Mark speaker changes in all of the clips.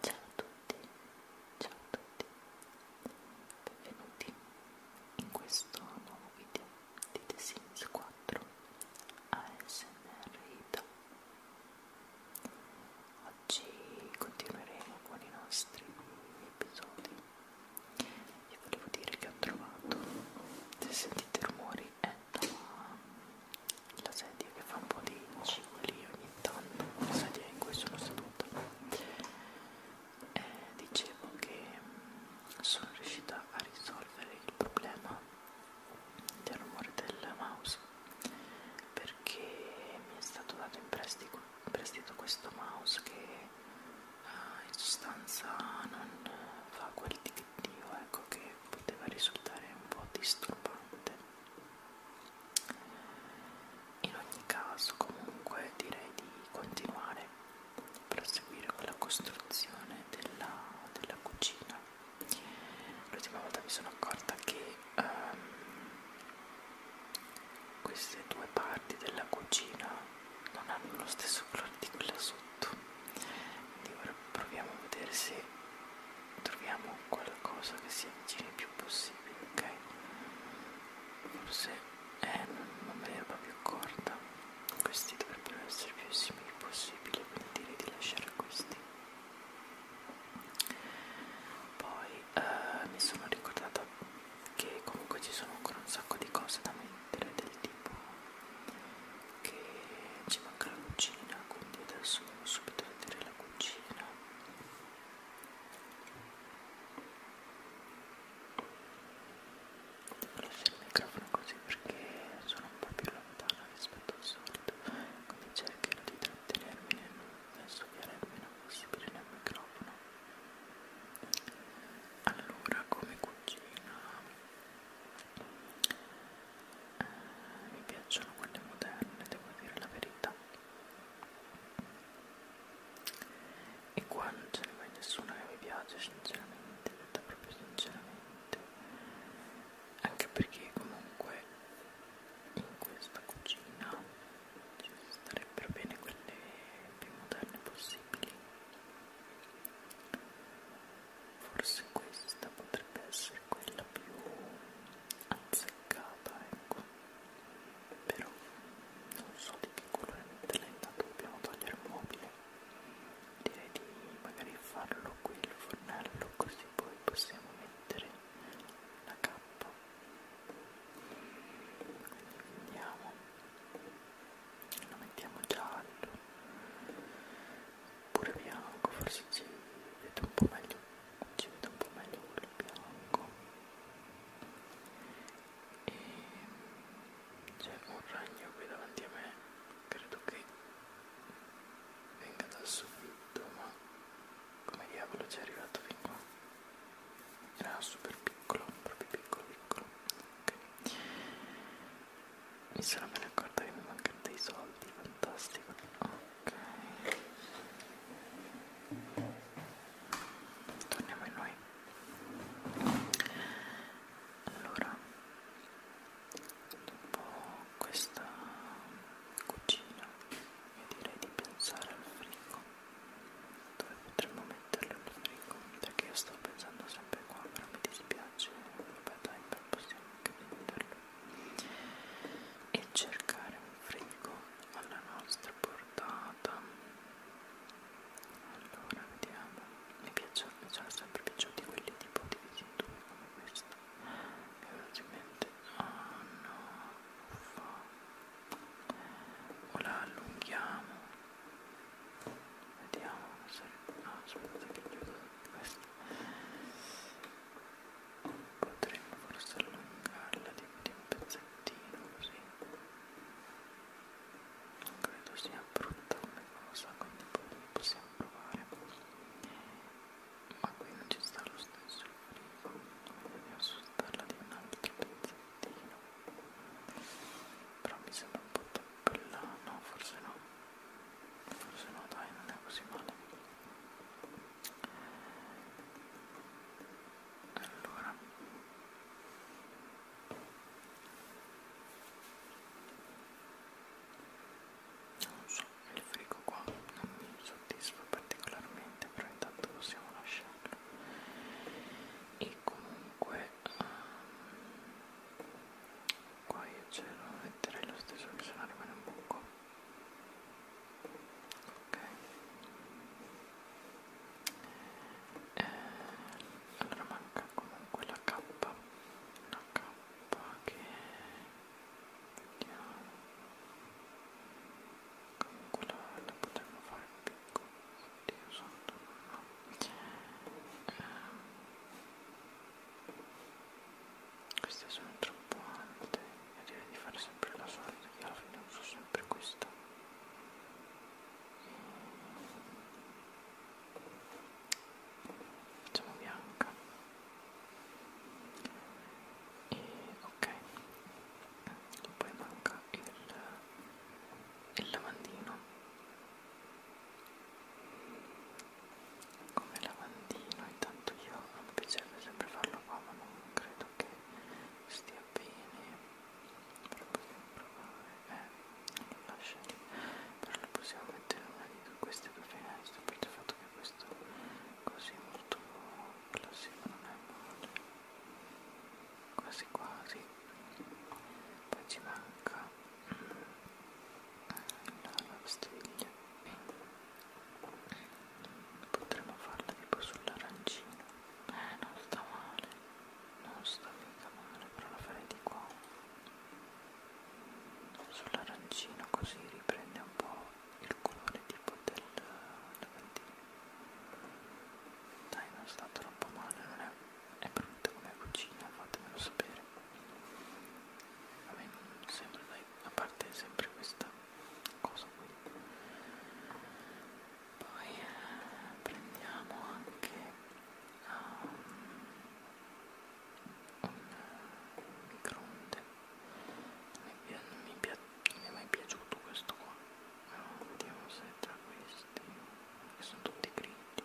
Speaker 1: Ciao a tutti, ciao a tutti, benvenuti in questo nuovo video di The Sims 4 ASMR Ita. Oggi continueremo con i nostri episodi. Vi volevo dire che ho trovato, se sentite rumori, è dalla la sedia che fa un po' di cicli ogni tanto, la sedia in cui sono seduta. E eh, dicevo che mm, sono riuscita a risolvere il problema del rumore del mouse perché mi è stato dato in prestito, in prestito questo mouse che uh, in sostanza non fa quel ticchettio ecco, che poteva risultare un po' disturbante in ogni caso comunque direi di continuare proseguire con la costruzione della, della cucina l'ultima volta mi sono accorta che um, queste due parti della cucina non hanno lo stesso colore di quella sotto quindi ora proviamo a vedere se troviamo qualcosa che si avvicini il più possibile, ok? Forse è una l'erba più corta, questi dovrebbero essere più simili possibile, quindi direi di lasciare questi. Poi eh, mi sono ricordata che comunque ci sono ancora un sacco di cose da mettere, del tipo che ci manca la cucina, quindi adesso andiamo subito a vedere la cucina lascio il microfono così perché sono un po' più lontana rispetto al solito quindi ecco, cercherò di trattenermi nel studiare il meno possibile nel microfono allora come cucina eh, mi piacciono quelle moderne devo dire la verità e qua non ce ne va nessuno che mi piace sinceramente detta proprio sinceramente anche perché comunque in questa cucina ci starebbero bene quelle più moderne possibili forse questa potrebbe essere quella più anzi seccata ecco però non so di che colore metterla intanto dobbiamo togliere il mobile direi di magari farlo qui il fornello così poi possiamo mettere la cappa andiamo lo mettiamo giallo pure bianco forse si vede un po' meglio ci vedo un po' meglio quello bianco e c'è un ragno qui davanti a me credo che venga dal soffitto ma come diavolo ci è arrivato fin qua era super piccolo proprio piccolo piccolo ok mi sono appena accorta che mi mancano dei soldi fantastico oh ok torniamo in noi allora dopo questa cucina io direi di pensare al frigo dove potremmo metterlo il frigo perché io sto pensando sempre qua però mi dispiace vabbè dai possiamo anche venderlo e cercare un frigo alla nostra portata allora vediamo mi piacciono, mi sono sempre piaciuti quelli tipo divisi in due come questo velocemente oh no uffa. o la allunghiamo vediamo se no ah, aspetta che chiudo questo potremmo forse allungarla di un pezzettino così non credo sia brutta come cosa quindi poi possiamo provare ma qui non ci sta lo stesso il frigo voglio assostarla di un altro pezzettino però mi sembra un po' troppo là no forse no forse no dai non è così male allora non so il frigo qua non mi soddisfa particolarmente però intanto possiamo lasciarlo e comunque um, qua io ce lo metterei lo stesso che se no rimane un buco Okay. Eh, allora manca comunque la K, la K che vediamo, comunque la, la potremmo fare piccola, oddio santo, no. eh, queste sono troppo alte e direi di fare sempre la solita che alla fine uso sempre questa facciamo bianca e ok poi manca il, il lavandino come lavandino intanto io non mi piacerebbe sempre farlo qua ma non credo credo che stia bene però possiamo provare eh, lasciali però lo possiamo mettere una di queste due finestre per il fatto che questo così molto classico non è male quasi quasi poi ci manca mm, la lavastiglie potremmo farla tipo sull'arancino eh non sta male non sta mica male però la farei di qua sull'arancino così riprende un po' il colore tipo del lavandino dai non sta troppo male non è, è brutta come cucina fatemelo sapere a me non sembra dai a parte sempre questa cosa qui poi eh, prendiamo anche um, un microonde non mi, mi, mi è mai piaciuto questo qua no, vediamo se tra questi che sono tutti grigi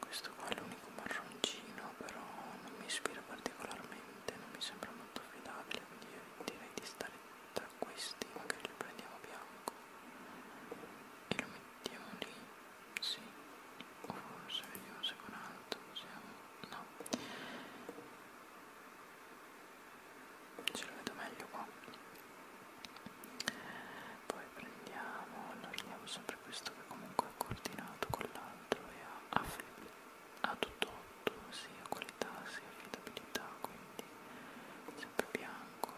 Speaker 1: questo qua è l'unico marroncino però non mi ispira particolarmente non mi sembra molto affidabile quindi direi di stare tra questi magari lo prendiamo bianco e lo mettiamo lì sì o forse vediamo se con altro possiamo no ce lo vedo meglio qua poi prendiamo, allarghiamo sempre questo che comunque è coordinato con l'altro e ha flip ha tutto 8 sia qualità sia affidabilità quindi sempre bianco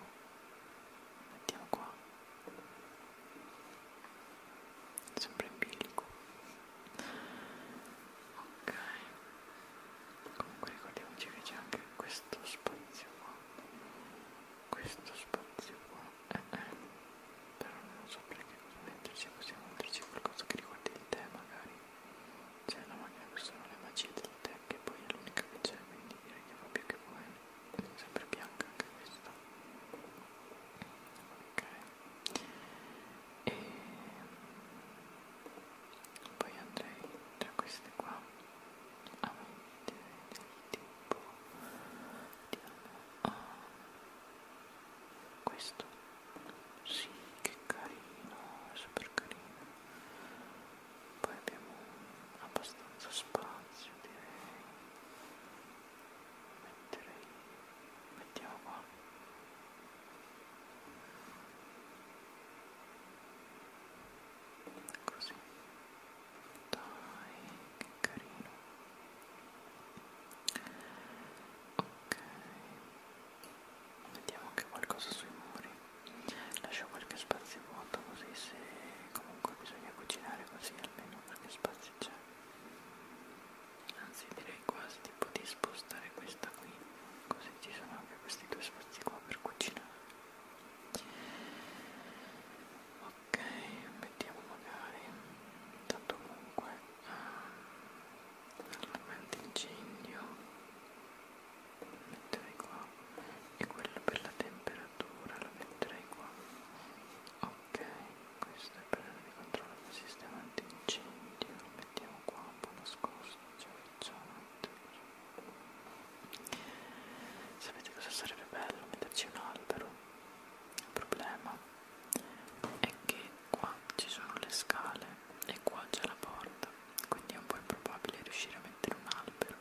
Speaker 1: mettiamo qua sempre in bilico ok comunque ricordiamoci che c'è anche questo spazio qua questo spazio qua eh, eh. però non so perché cosa metterci possiamo metterci qualcosa che riguardi di te magari c'è cioè, la macchina che sono le magie della tech che poi è l'unica che c'è, quindi direi che fa più che bene. È sempre bianca anche questa. Ok. E poi andrei tra queste qua a ah, mettere del tipo... Vediamo... Oh, questo sì, che carino, è super carino. Poi abbiamo abbastanza spazio, direi. Metterei... Mettiamo qua. Così. Dai, che carino. Ok mettiamo anche qualcosa sui muri lascio qualche spazio vuoto così se comunque bisogna cucinare così almeno qualche spazio c'è anzi direi quasi tipo di spostare questa qui così ci sono anche questi due spazi qua per cucinare ok mettiamo magari tanto comunque l'armamento incendio lo metterei qua e quello per la temperatura lo metterei qua ok questo è per il controllo del sistema antincendio lo mettiamo qua un po' nascosto cioè sapete cosa sarebbe bello metterci un albero il problema è che qua ci sono le scale e qua c'è la porta quindi è un po' improbabile riuscire a mettere un albero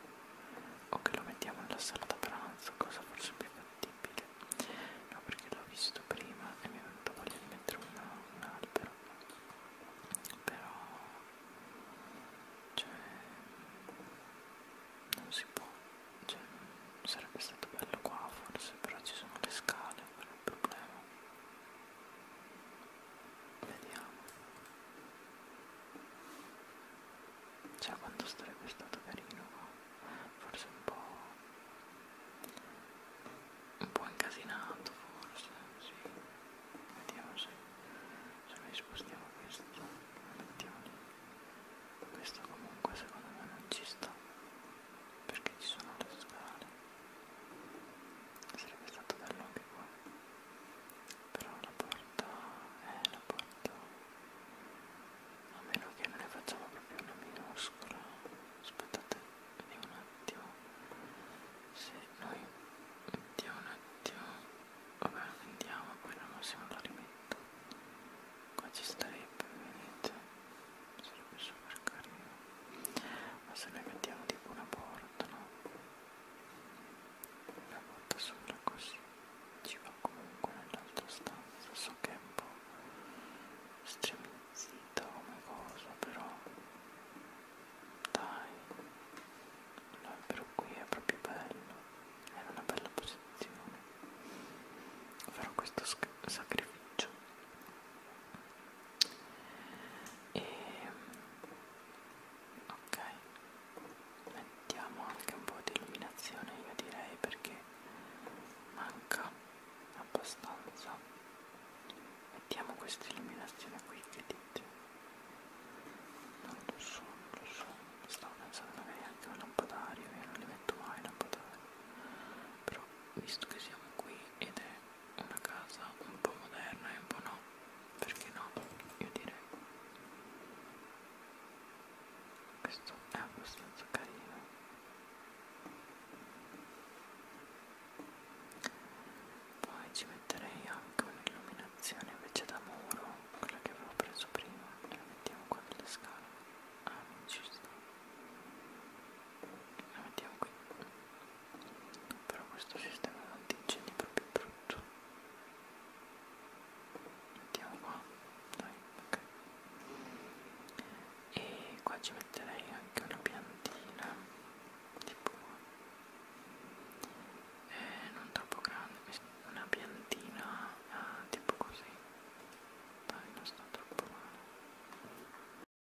Speaker 1: o che lo mettiamo nella sala da pranzo cosa forse più fattibile no perché l'ho visto prima e mi è venuta voglia di mettere una, un albero però cioè non si può cioè, sarebbe stato bello qua forse però ci sono le scale quello è il problema Vediamo. Cioè quanto sarebbe stato carino, forse un po'... un po' incasinato forse, sì. Vediamo se, se noi spostiamo questo, lo mettiamo lì. Questo comunque secondo me non ci sta, perché ci sono le scale sarebbe stato bello anche qua però la porta è eh, la porta a meno che non ne facciamo proprio una minuscola aspettate vediamo un attimo se noi mettiamo un attimo vabbè andiamo poi al massimo la rimetto qua ci starebbe vedete sarebbe super carino ma se noi mettiamo tipo una porta no? una porta sopra così ci va comunque nell'altra stanza so che è un po' stremizzita come cosa però dai l'albero qui è proprio bello era una bella posizione farò questo sacrificio e ok mettiamo anche un po' di illuminazione io direi perché manca abbastanza mettiamo questa illuminazione qui che dite non lo so non lo so stavo pensando magari anche un lampadario io non li metto mai lampadario però visto che siamo qui ed è una casa un po' moderna e un po' no perché no io direi questo è abbastanza carino poi ci metterei anche un'illuminazione invece da muro quella che avevo preso prima e la mettiamo qua nelle scale ah non ci sta la mettiamo qui però questo sistema antincendi è proprio brutto mettiamo qua dai ok e qua ci metterei anche una piantina tipo eh, non troppo grande una piantina eh, tipo così dai non sta troppo male